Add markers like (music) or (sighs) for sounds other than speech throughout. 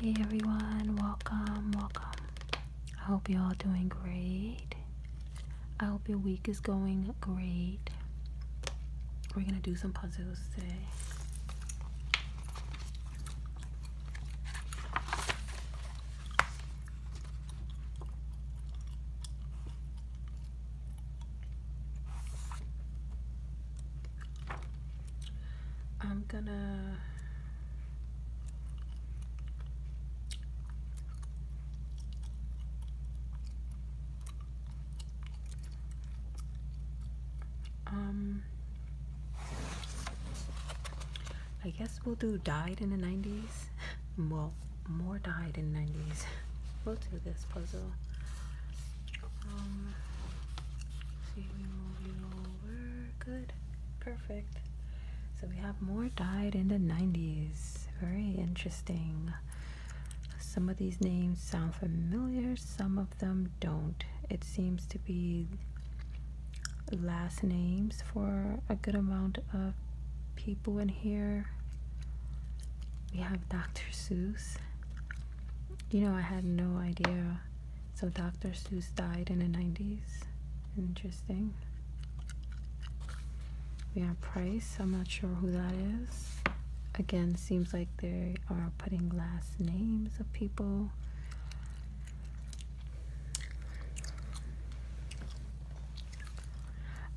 Hey everyone, welcome, welcome. I hope you're all doing great. I hope your week is going great. We're gonna do some puzzles today. I'm gonna um I guess we'll do died in the 90s (laughs) well more died in 90s (laughs) we'll do this puzzle um, see, we move you Good, perfect. So we have more died in the 90s. Very interesting. Some of these names sound familiar, some of them don't. It seems to be last names for a good amount of people in here. We have Dr. Seuss. You know, I had no idea so Dr. Seuss died in the 90s. Interesting. We have Price. I'm not sure who that is. Again, seems like they are putting last names of people.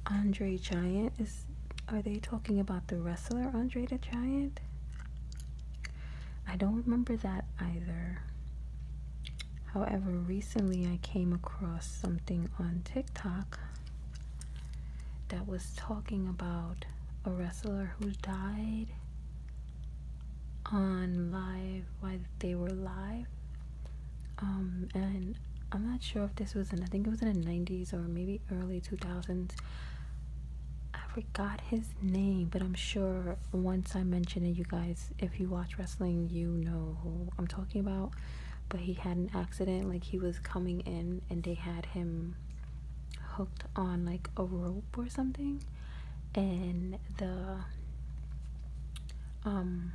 Andre Giant is are they talking about the wrestler Andre the Giant? I don't remember that either. However, recently I came across something on TikTok that was talking about a wrestler who died on live while they were live. Um, and I'm not sure if this was in, I think it was in the 90s or maybe early 2000s. I forgot his name, but I'm sure once I mention it, you guys, if you watch wrestling, you know who I'm talking about. But he had an accident, like he was coming in and they had him hooked on like a rope or something. And the um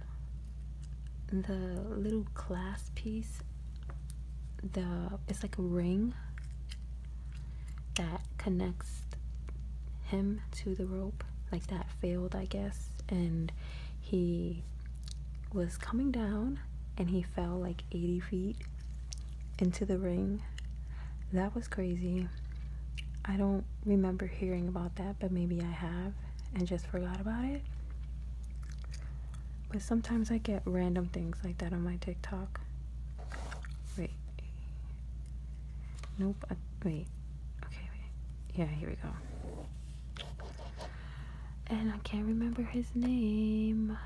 the little clasp piece the it's like a ring that connects him to the rope like that failed i guess and he was coming down and he fell like 80 feet into the ring that was crazy i don't remember hearing about that but maybe i have and just forgot about it but sometimes i get random things like that on my tiktok Wait. Nope. wait. Okay, wait. Yeah, here we go. And I can't remember his name.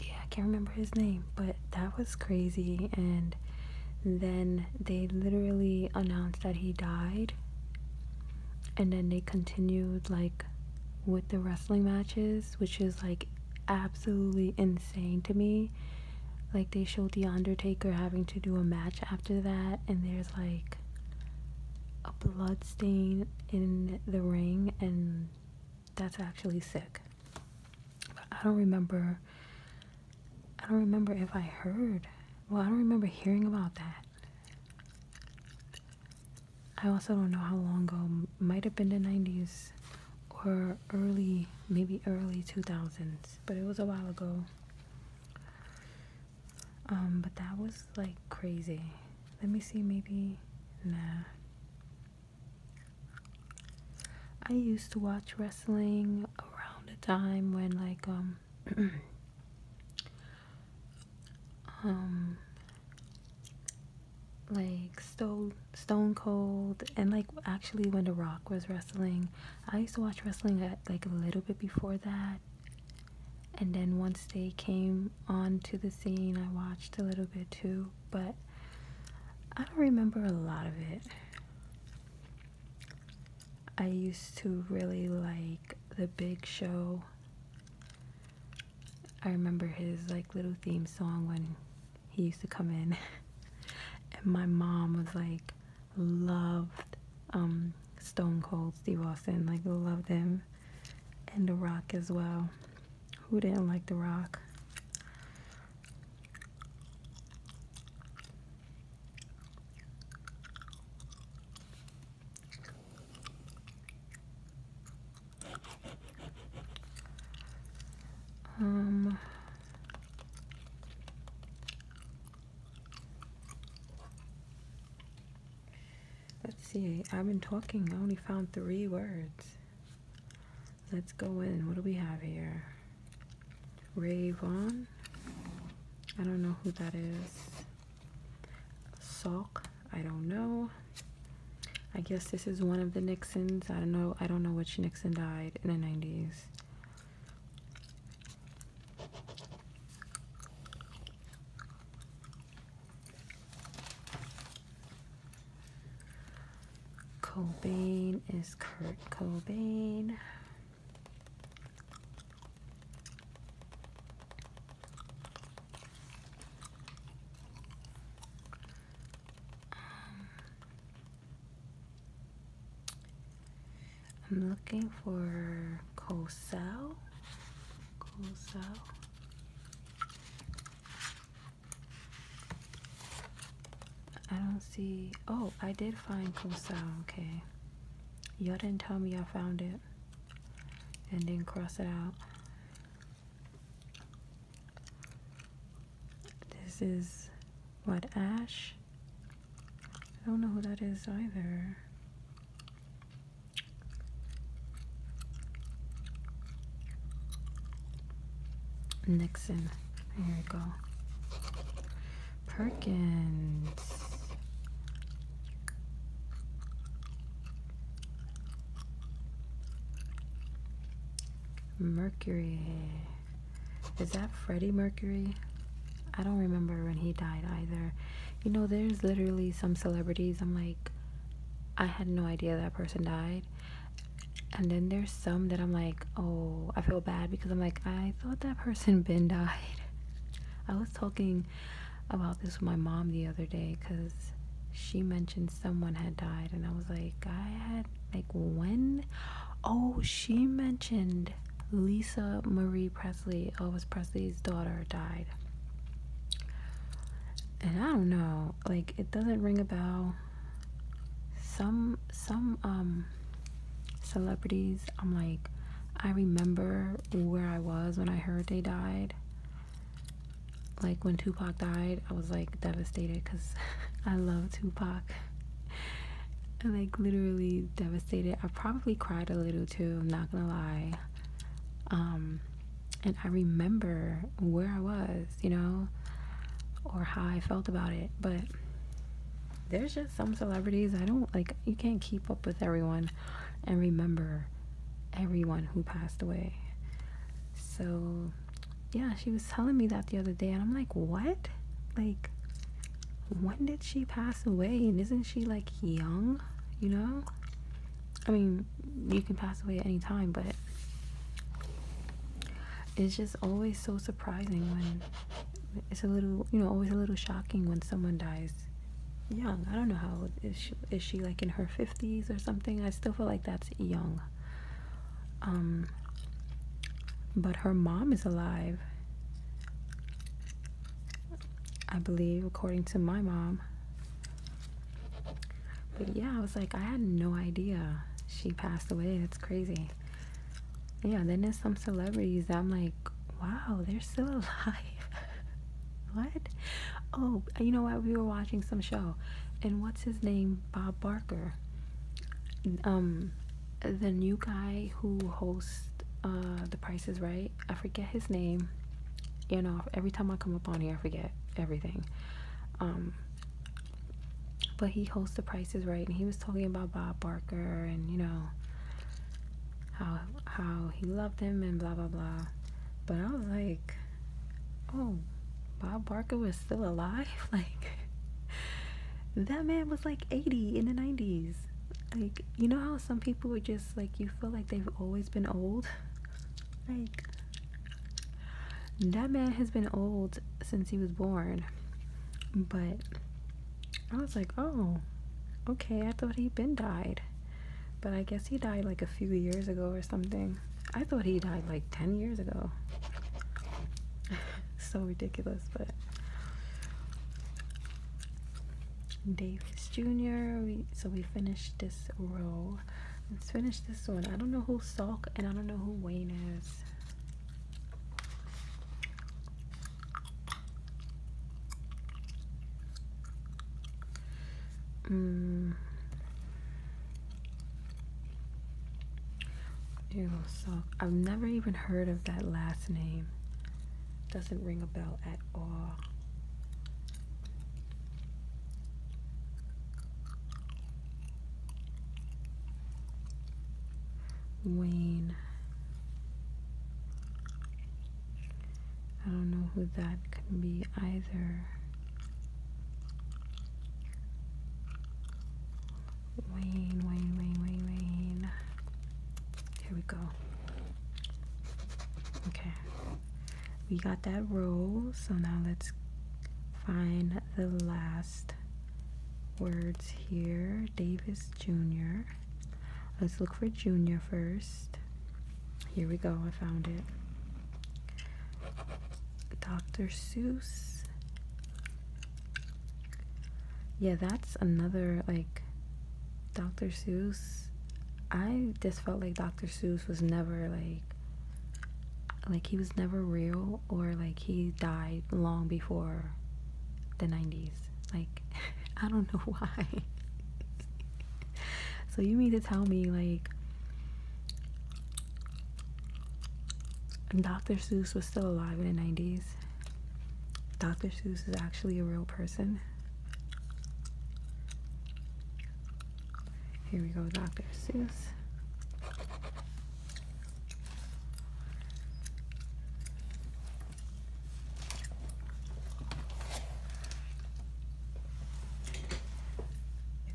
Yeah, I can't remember his name, but that was crazy. And then they literally announced that he died and then they continued like with the wrestling matches, which is like absolutely insane to me. Like they showed The Undertaker having to do a match after that, and there's like a blood stain in the ring, and that's actually sick. I don't remember. I don't remember if I heard. Well, I don't remember hearing about that. I also don't know how long ago, might have been the 90s or early, maybe early 2000s, but it was a while ago. Um, but that was like crazy. Let me see, maybe, nah. I used to watch wrestling around the time when like, um, (clears throat) um like stone stone cold and like actually when the rock was wrestling i used to watch wrestling at, like a little bit before that and then once they came onto the scene i watched a little bit too but i don't remember a lot of it I used to really like The Big Show. I remember his like little theme song when he used to come in. (laughs) and my mom was like loved um Stone Cold Steve Austin, like loved him. And The Rock as well. Who didn't like The Rock? Um Let's see. I've been talking. I only found 3 words. Let's go in. What do we have here? Ray Vaughn. I don't know who that is. Salk, I don't know. I guess this is one of the Nixons. I don't know. I don't know which Nixon died in the 90s. Cobain is Kurt Cobain. Um, I'm looking for Kosao. Kosao. I don't see. Oh, I did find Kosao. Okay. Y'all didn't tell me I found it and then cross it out. This is what ash. I don't know who that is either. Nixon. There we go. Perkins. Mercury. Is that Freddie Mercury? I don't remember when he died either. You know, there's literally some celebrities I'm like, I had no idea that person died. And then there's some that I'm like, oh, I feel bad because I'm like, I thought that person (laughs) Ben died. I was talking about this with my mom the other day because she mentioned someone had died, and I was like, I had like when? Oh, she mentioned Lisa Marie Presley, Elvis Presley's daughter, died. And I don't know, like it doesn't ring a bell. Some some um celebrities, I'm like, I remember where I was when I heard they died. Like when Tupac died, I was like devastated because (laughs) I love Tupac. (laughs) like literally devastated. I probably cried a little too, I'm not gonna lie. Um, and I remember where I was, you know, or how I felt about it. But there's just some celebrities I don't like, you can't keep up with everyone and remember everyone who passed away. So, yeah, she was telling me that the other day, and I'm like, what? Like, when did she pass away? And isn't she like young? You know? I mean, you can pass away at any time, but it's just always so surprising when it's a little, you know, always a little shocking when someone dies young. I don't know how is she, is she like in her 50s or something? I still feel like that's young. Um, but her mom is alive. I believe, according to my mom. But yeah, I was like, I had no idea she passed away. That's crazy. Yeah, then there's some celebrities that I'm like, wow, they're still (laughs) alive. what? Oh, you know what? We were watching some show, and what's his name? Bob Barker. Um, the new guy who hosts uh The Price is Right. I forget his name. You know, every time I come up on here, I forget everything. Um, but he hosts The Price is Right, and he was talking about Bob Barker, and you know, how how he loved him and blah blah blah. But I was like, oh, Bob Barker was still alive? (laughs) Like that man was like 80 in the 90s. Like, you know how some people are just like you feel like they've always been old? (laughs) Like that man has been old since he was born. But I was like, oh, okay, I thought he'd been died. But I guess he died like a few years ago or something. I thought he died like 10 years ago. (laughs) so ridiculous, but. Davis Jr. so we finished this row. Let's finish this one. I don't know who Salk and I don't know who Wayne is. Mm. Ew, so I've never even heard of that last name. Doesn't ring a bell at all. Wayne. I don't know who that can be either. Wayne, Wayne, Wayne, Wayne, Wayne. Here we go. Okay. We got that row, so now let's find the last words here. Davis Jr. Let's look for Jr. first. Here we go, I found it. Dr. Seuss. Yeah, that's another, like, Dr. Seuss. I just felt like Dr. Seuss was never, like, like he was never real or like he died long before the 90s like (laughs) I don't know (laughs) why. so you mean to tell me like Dr. Seuss was still alive in the 90s? Dr. Seuss is actually a real person. Here we go, Dr. Seuss.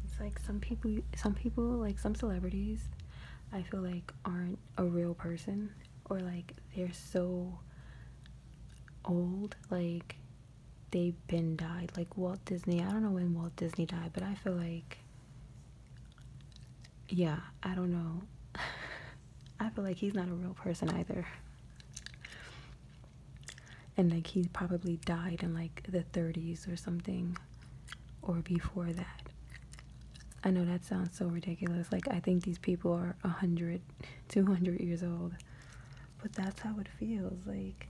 It's like some people, some people, like some celebrities, I feel like aren't a real person or like they're so old, like they've been died. Like Walt Disney, I don't know when Walt Disney died, but I feel like, yeah, I don't know. (laughs) I feel like he's not a real person either. And like he probably died in like the 30s or something or before that. I know that sounds so ridiculous. Like I think these people are 100, 200 years old. But that's how it feels like.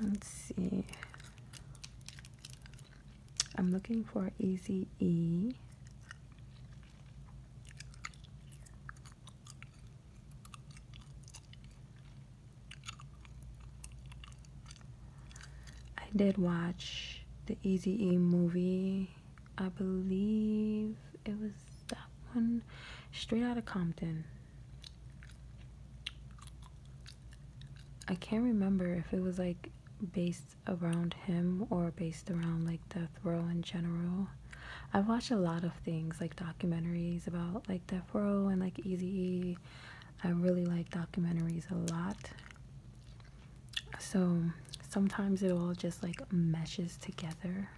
Let's see. I'm looking for Easy E. I did watch the Easy E movie. I believe it was that one, Straight Out of Compton. I can't remember if it was like based around him or based around like death row in general. i watch a lot of things like documentaries about like death row and like Easy I really like documentaries a lot. So sometimes it all just like meshes together.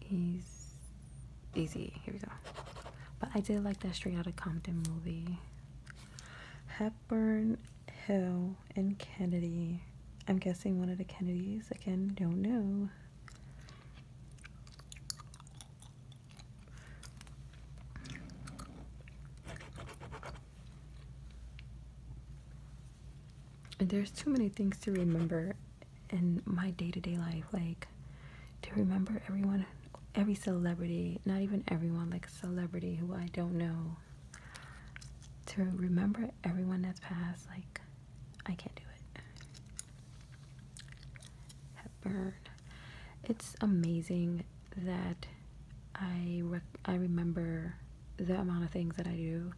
He's easy. Here we go. But I did like that Straight Outta Compton movie. Hepburn, Hill, and Kennedy. I'm guessing one of the Kennedys. Again, don't know. There's too many things to remember in my day to day life. Like, to remember everyone, every celebrity, not even everyone, like a celebrity who I don't know, to remember everyone that's passed, like, I can't do it. It's amazing that I, I remember the amount of things that I do,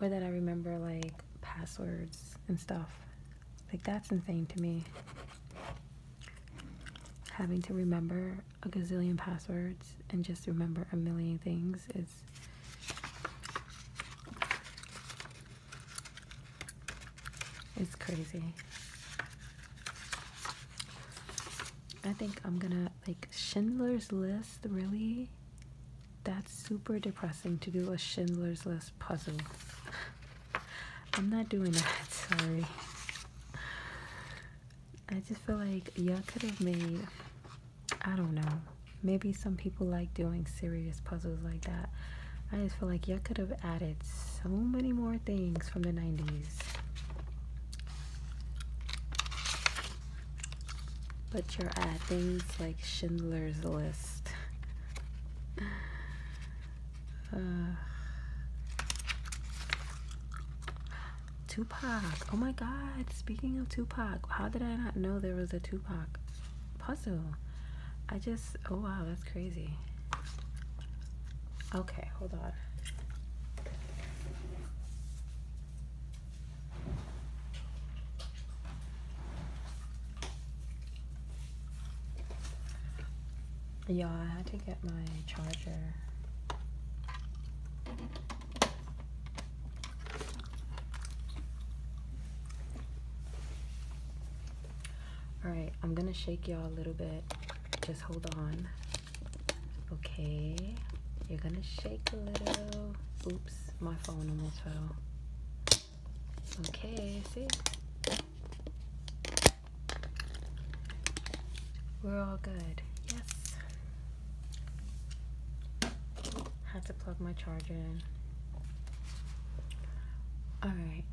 or that I remember, like, passwords and stuff. Like, that's insane to me having to remember a gazillion passwords and just remember a million things is it's crazy i think i'm gonna like schindler's list really that's super depressing to do a schindler's list puzzle I'm not doing that, (laughs) sorry. I just feel like y'all could have made, I don't know, maybe some people like doing serious puzzles like that. I just feel like y'all could have added so many more things from the 90s. But you're adding things like Schindler's List. Uh, Tupac. Oh my god, speaking of Tupac, how did I not know there was a Tupac puzzle? I just, oh wow, that's crazy. Okay, hold on. Yeah, I had to get my charger. Alright, I'm gonna shake y'all a little bit. Just hold on. Okay. You're gonna shake a little. Oops, my phone almost fell. Okay, see? We're all good. Yes. Had to plug my charger in. Alright.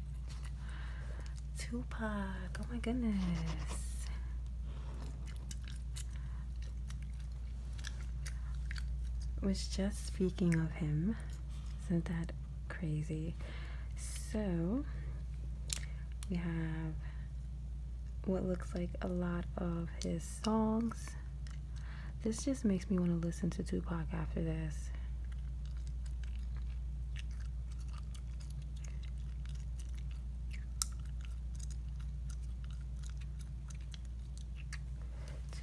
Tupac. Oh my goodness. Was just speaking of him. Isn't that crazy. So we have what looks like a lot of his songs. This just makes me want to listen to Tupac after this.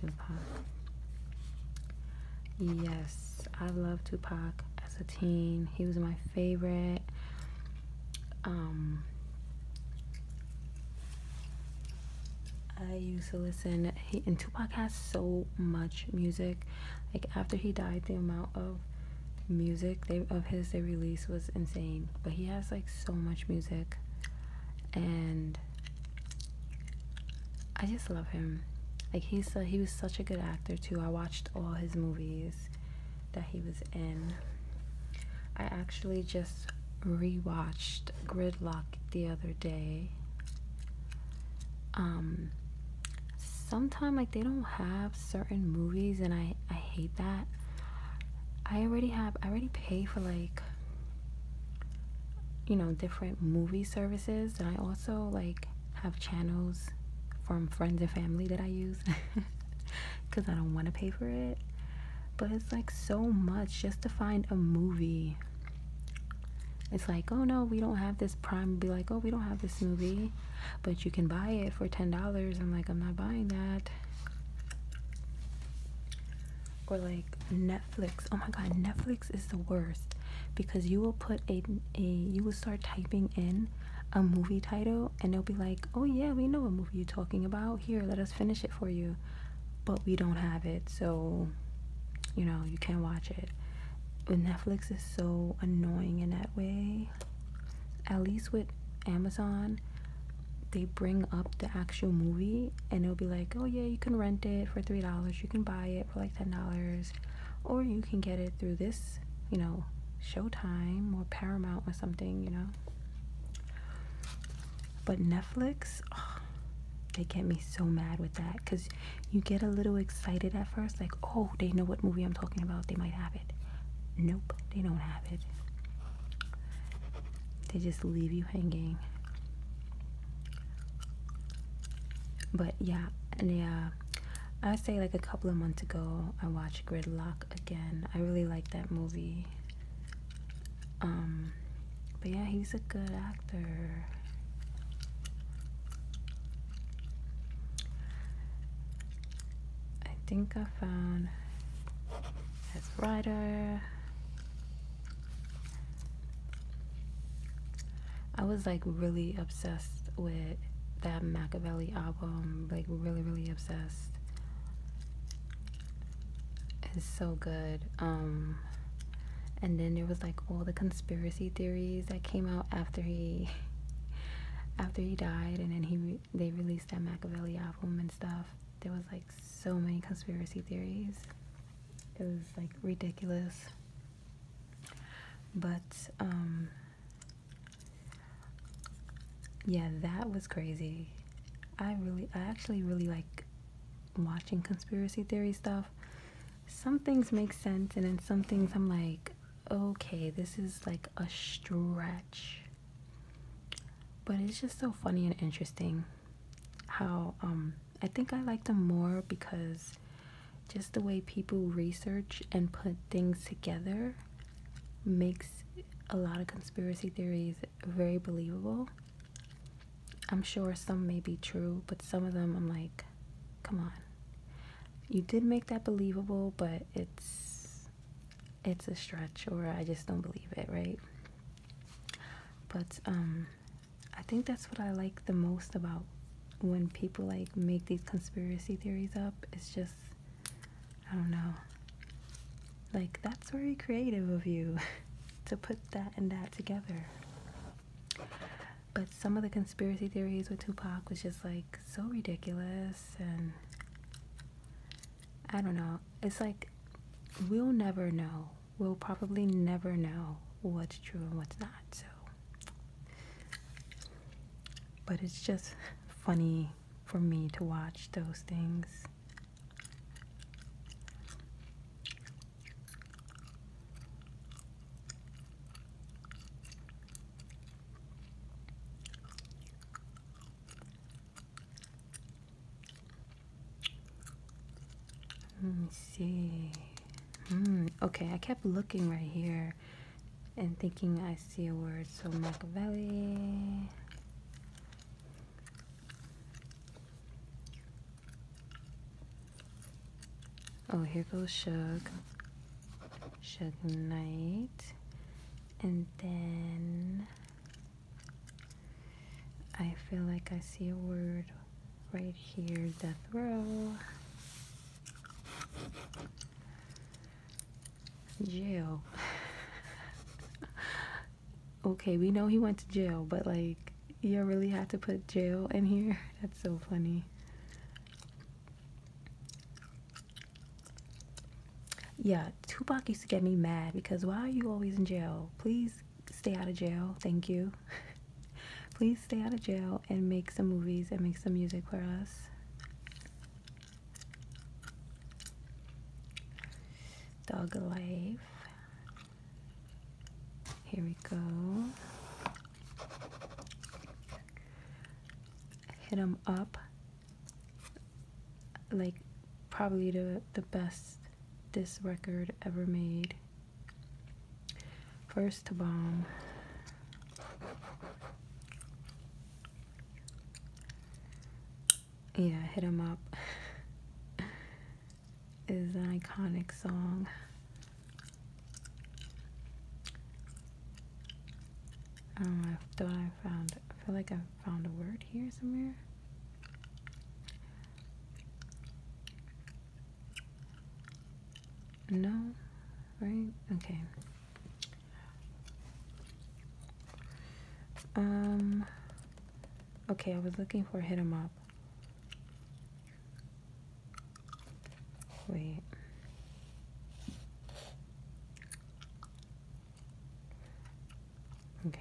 Tupac. Yes, I loved Tupac as a teen. He was my favorite. Um, I used to listen. He, and Tupac has so much music. Like after he died, the amount of music they of his they released was insane. But he has like so much music, and I just love him. Like he's uh, he was such a good actor too. I watched all his movies that he was in. I actually just rewatched Gridlock the other day. Um, sometimes like they don't have certain movies, and I I hate that. I already have I already pay for like you know different movie services, and I also like have channels from friends and family that I use because (laughs) I don't want to pay for it. But it's like so much just to find a movie. It's like, oh no, we don't have this prime. Be like, oh, we don't have this movie, but you can buy it for $10. I'm like, I'm not buying that. Or like Netflix. Oh my God, Netflix is the worst because you will put a, a you will start typing in a movie title and they'll be like, oh yeah, we know a movie you're talking about. Here, let us finish it for you. But we don't have it, so you know, you can't watch it. But Netflix is so annoying in that way. At least with Amazon, they bring up the actual movie and it will be like, oh yeah, you can rent it for $3, you can buy it for like $10, or you can get it through this you know, Showtime or Paramount or something, you know. But Netflix, they get me so mad with that because you get a little excited at first, like, oh, they know what movie I'm talking about, they might have it. Nope, they don't have it. They just leave you hanging. But yeah, and yeah, i say like a couple of months ago i watched gridlock again i really like that movie um but yeah he's a good actor i think i found as writer I was like really obsessed with that Machiavelli album, like really, really obsessed. It's so good. Um, and then there was like all the conspiracy theories that came out after he, (laughs) after he died, and then he they released that Machiavelli album and stuff. There was like so many conspiracy theories. It was like ridiculous. But um, yeah that was crazy i really i actually really like watching conspiracy theory stuff some things make sense and then some things i'm like okay this is like a stretch but it's just so funny and interesting how um i think i like them more because just the way people research and put things together makes a lot of conspiracy theories very believable. I'm sure some may be true, but some of them I'm like, come on. You did make that believable, but it's it's a stretch or I just don't believe it, right? But um I think that's what I like the most about when people like make these conspiracy theories up, it's just I don't know. Like that's very creative of you (laughs) to put that and that together. But some of the conspiracy theories with Tupac was just like so ridiculous and I don't know. It's like we'll never know. We'll probably never know what's true and what's not. So but it's just funny for me to watch those things. Let me see. Hmm, okay, I kept looking right here and thinking I see a word. So Machiavelli. Oh, here goes Shug. Shug Knight. And then I feel like I see a word right here, death row. Jail. okay, we know he went to jail, but like, you really have to put jail in here? (laughs) That's so funny. Yeah, Tupac used to get me mad because why are you always in jail? Please stay out of jail. Thank you. (laughs) Please stay out of jail and make some movies and make some music for us. Dog life. Here we go. Hit him up. Like probably the the best this record ever made. First bomb. Yeah, Hit 'em Up (laughs) is an iconic song. I don't know, I thought I found, I feel like I found a word here somewhere. No? Right? Okay. Um okay, I was looking for hit hit 'em up. Wait. Okay.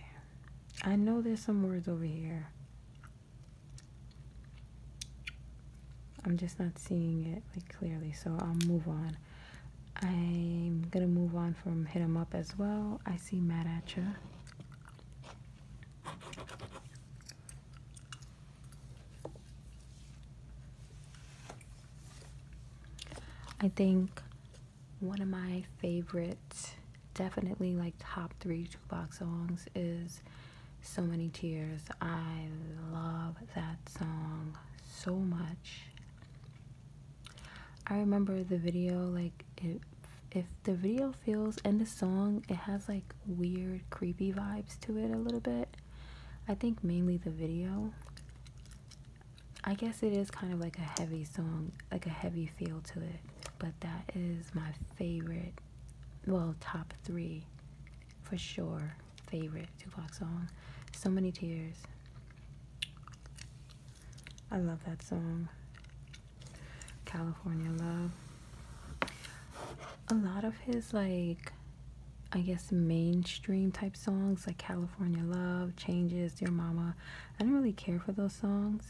I know there's some words over here. I'm just not seeing it like clearly, so I'll move on. I'm gonna move on from hit 'em up as well. I see mad at you. I think one of my favorite, definitely like top three jukebox songs is so Many Tears. I love that song so much. I remember the video, like, it, if the video feels and the song, it has like weird, creepy vibes to it a little bit. I think mainly the video. I guess it is kind of like a heavy song, like a heavy feel to it, but that is my favorite, well, top three for sure favorite Tupac song. So many tears. I love that song. California Love. A lot of his like I guess mainstream type songs like California Love, Changes, Dear Mama. I don't really care for those songs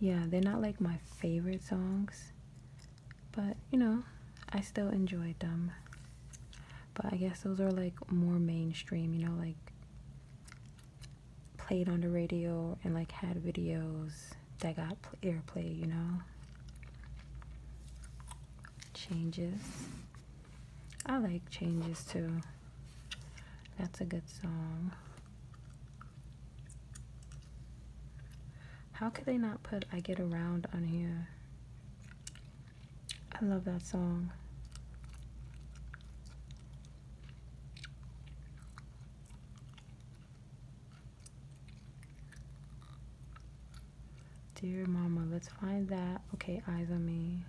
yeah, they're not like my favorite songs, but you know, I still enjoyed them. But I guess those are like more mainstream, you know, like played on the radio and like had videos that got airplay, you know. Changes. I like Changes too. That's a good song. How could they not put I Get Around on here? I love that song. Dear Mama, let's find that. Okay, Eyes on Me.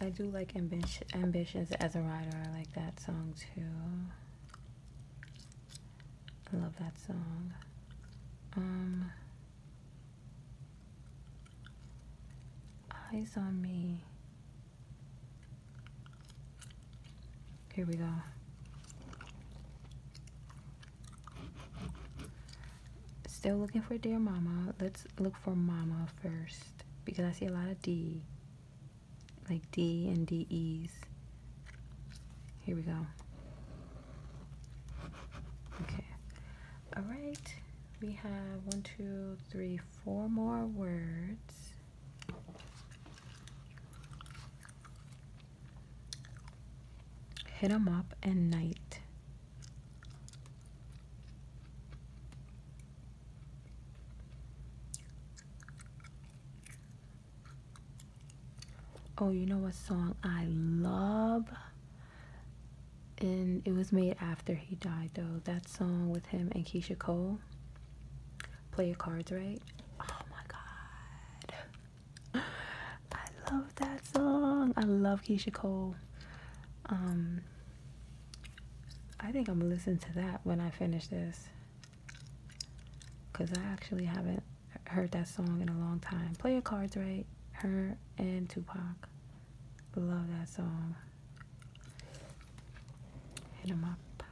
I do like ambition, ambitions as a writer. I like that song too. I love that song. Um, Eyes on Me. Here we go. Still looking for Dear Mama. Let's look for Mama first because I see a lot of D, like D and DEs. Here we go. Okay. All right. We have one, two, three, four more words. Hit 'em up and night. Oh, you know what song I love? And it was made after he died, though. That song with him and Keisha Cole. Play your cards right. Oh my god. (laughs) I love that song. I love Keisha Cole. Um, I think I'm gonna listen to that when I finish this because I actually haven't heard that song in a long time. Play a cards right, her and Tupac. Love that song. Hit up.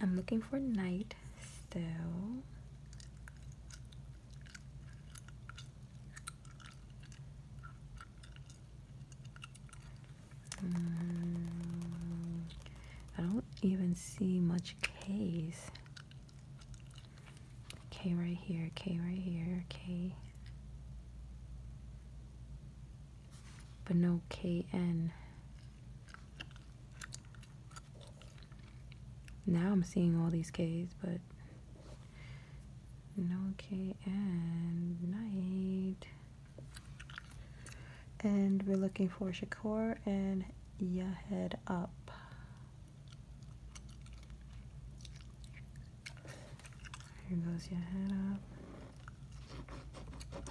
I'm looking for night still. Mm, I don't even see much K's. K right here, K right here, K. But no KN. Now I'm seeing all these K's, but Okay, and night. And we're looking for Shakur and Ya head up. Here goes your head up.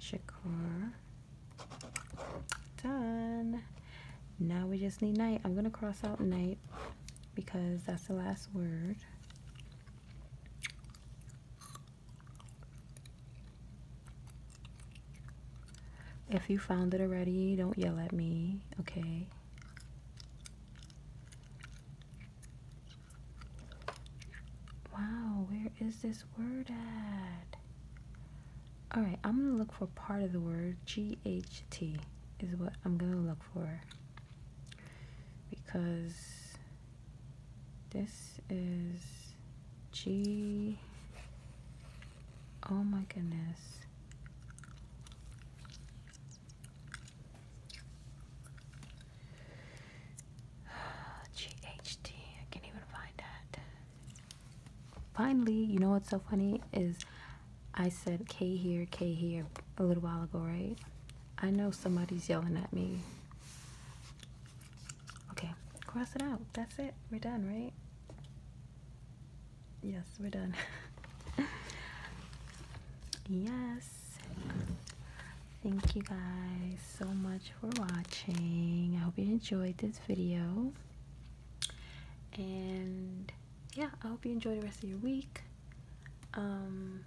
Shakur. Done. Now we just need night. I'm gonna cross out night because that's the last word. If you found it already, don't yell at me, okay? Wow, where is this word at? Alright, I'm gonna look for part of the word. G H T is what I'm gonna look for because this is G. Oh my goodness. GHD. (sighs) can't even find that. Finally, you know what's so funny is I said K here, K here a little while ago, right? I know somebody's yelling at me. Okay, cross it out. That's it. We're done, right? Yes, we're done. (laughs) yes. Thank you guys so much for watching. I hope you enjoyed this video. And yeah, I hope you enjoy the rest of your week um,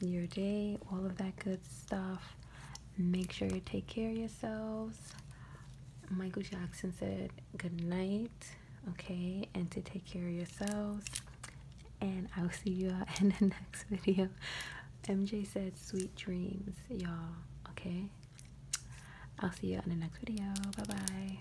your day, all of that good stuff. Make sure you take care of yourselves. Michael Jackson said good night, okay, and to take care of yourselves. And I will see you all (laughs) in the next video. MJ said sweet dreams, y'all, okay? I'll see you in the next video. Bye bye.